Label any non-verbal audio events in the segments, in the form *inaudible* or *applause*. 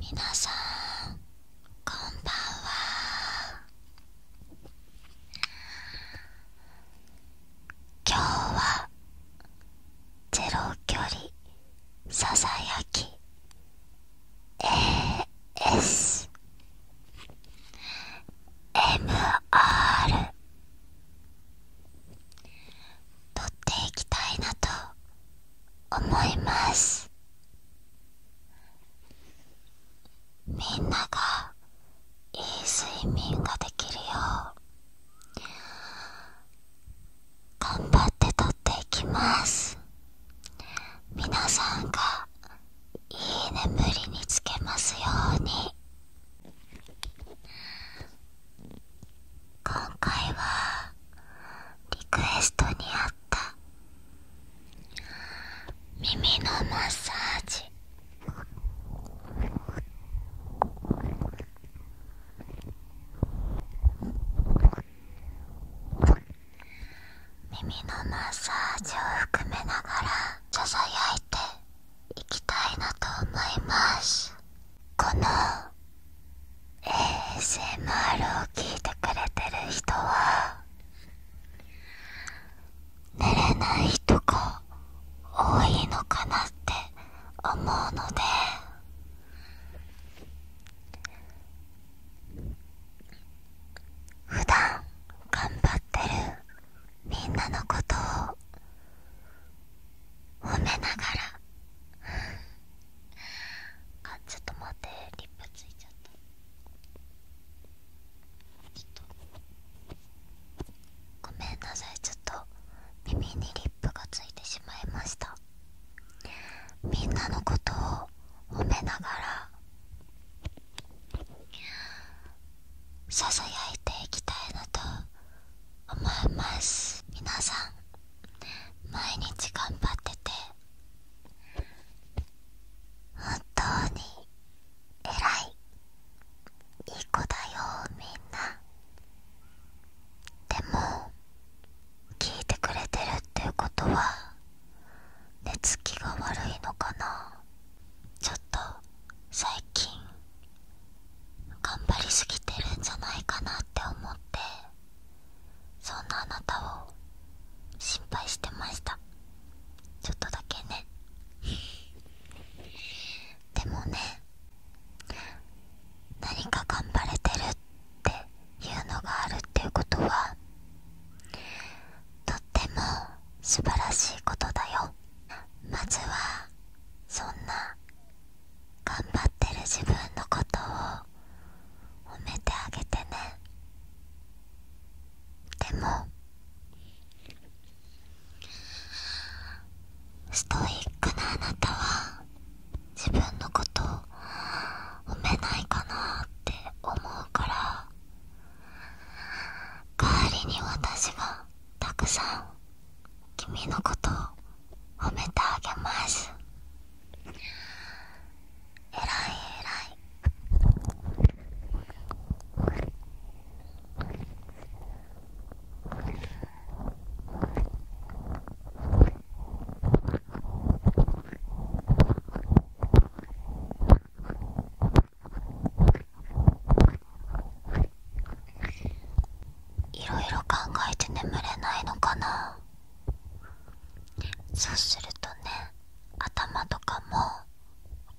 皆さんこんばんは今日はゼロ距離ささやき ASMR 撮っていきたいなと思いますみんながいい睡眠ができるよう頑張って撮っていきます皆さんがいい眠りにつけますように今回はリクエストにあった耳のマッサージ耳のマッサージを含めながらささやいていきたいなと思います。この ASMR を聞いてくれてる人は寝れない人が多いのかなって思うので普段頑張ってるみんなのことを褒めながらあちょっと待ってリップついちゃったごめんなさいちょっと耳にリップがついてしまいましたみんなのことを褒めながらささやいていきたいなと思います皆さん毎日頑張ってて本当に偉いいい子だよみんなでも聞いてくれてるっていうことは寝つきが悪いのかなちょっと最近頑張りすぎてるんじゃないかなって思ってそんなあなたを心配してましたちょっとだけねでもね何か頑張れてるっていうのがあるっていうことはとっても素晴らしいことだよまずはそんな頑張ってる自分のことを褒めてあげてねでもストイックなあなたは自分のこと褒めないかなって思うから代わりに私がたくさん君のことを褒めてあげますえらいえらいいろいろ考えて眠れないのかなそうするとね頭とかも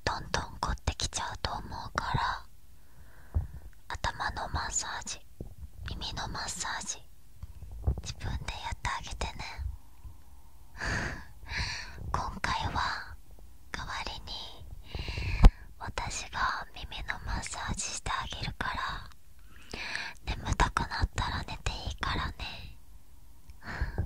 どんどん凝ってきちゃうと思うから頭のマッサージ耳のマッサージ自分でやってあげてね *laughs* 今回は代わりに私が耳のマッサージしてあげるから眠たくなったら寝ていいからね *laughs*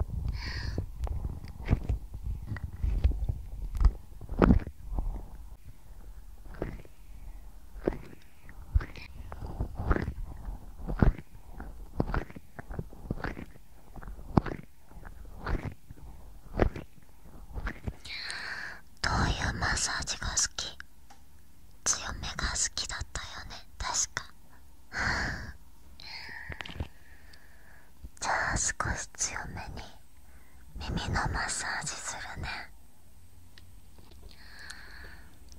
どういうマッサージが好き強めが好きだったよね確かじゃあ少し強めに耳のマッサージするね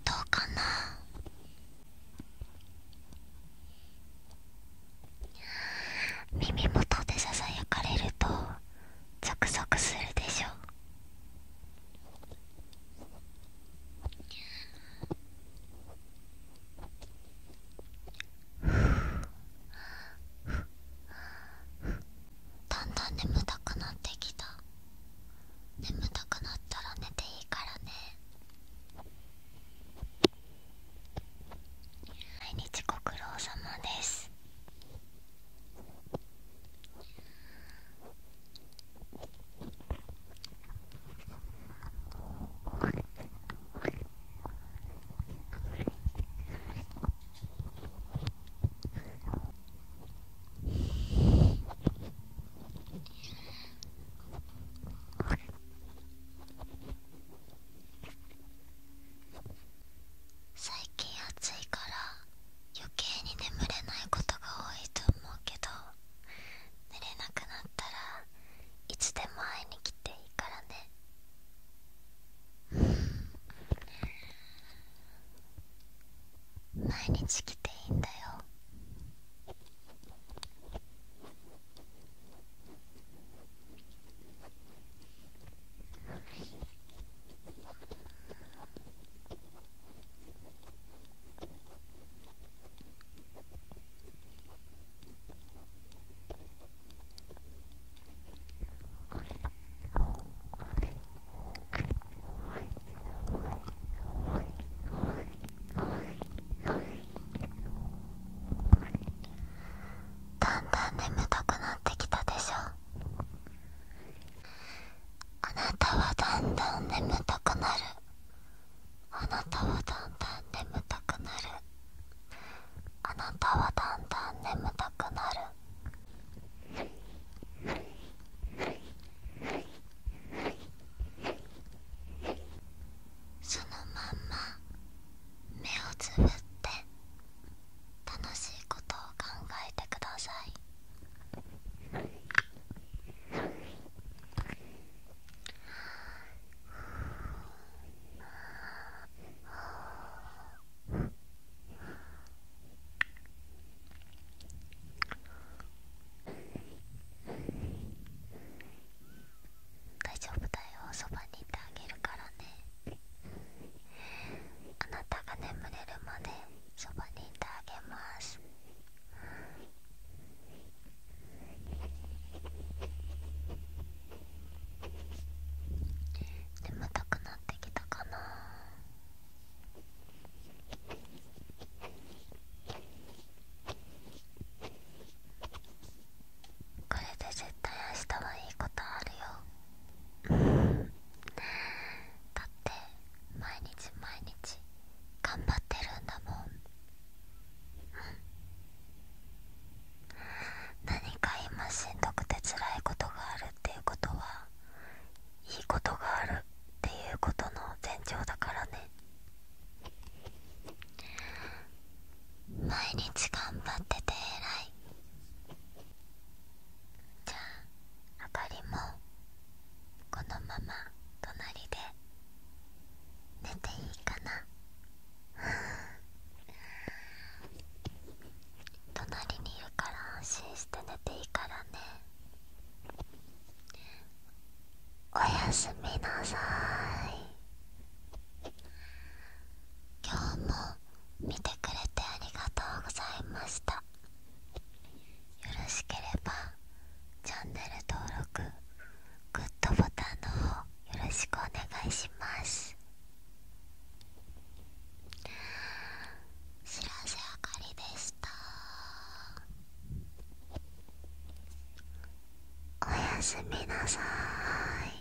どうかな耳元でささやかれるとゾクゾクするでしょうだんだん眠たくなってきた眠たくなったら寝ていいからね毎日ご苦労様です最近暑いから余計に眠れないことが多いと思うけど寝れなくなったらいつでも会いに来ていいからね今毎日来ていいんだよだんだん眠たくなってきたでしょあなたはだんだん眠たくなるあなたはだんだん眠たくなるあなたはだんだん眠たくなるそのまんま目をつぶって楽しいことを考えてください大丈夫だよそばにいてあげるからねあなたが眠れるまでそばにいてあげます眠たくなってきたかなこれで絶対明日はいいことあるよ *laughs* だって毎日毎日頑張ってるんだもん何か今しんどくて辛いことがあるっていうことはいいことがあるっていうことの前兆だからね毎日頑張ってて偉いじゃああかりもこのまま隣で寝ていいかな隣にいるから安心して寝ていいからねおやすみなさい今日も見てくれてありがとうございましたよろしければチャンネル登録グッドボタンのよろしくお願いします白瀬あかりでしたおやすみなさい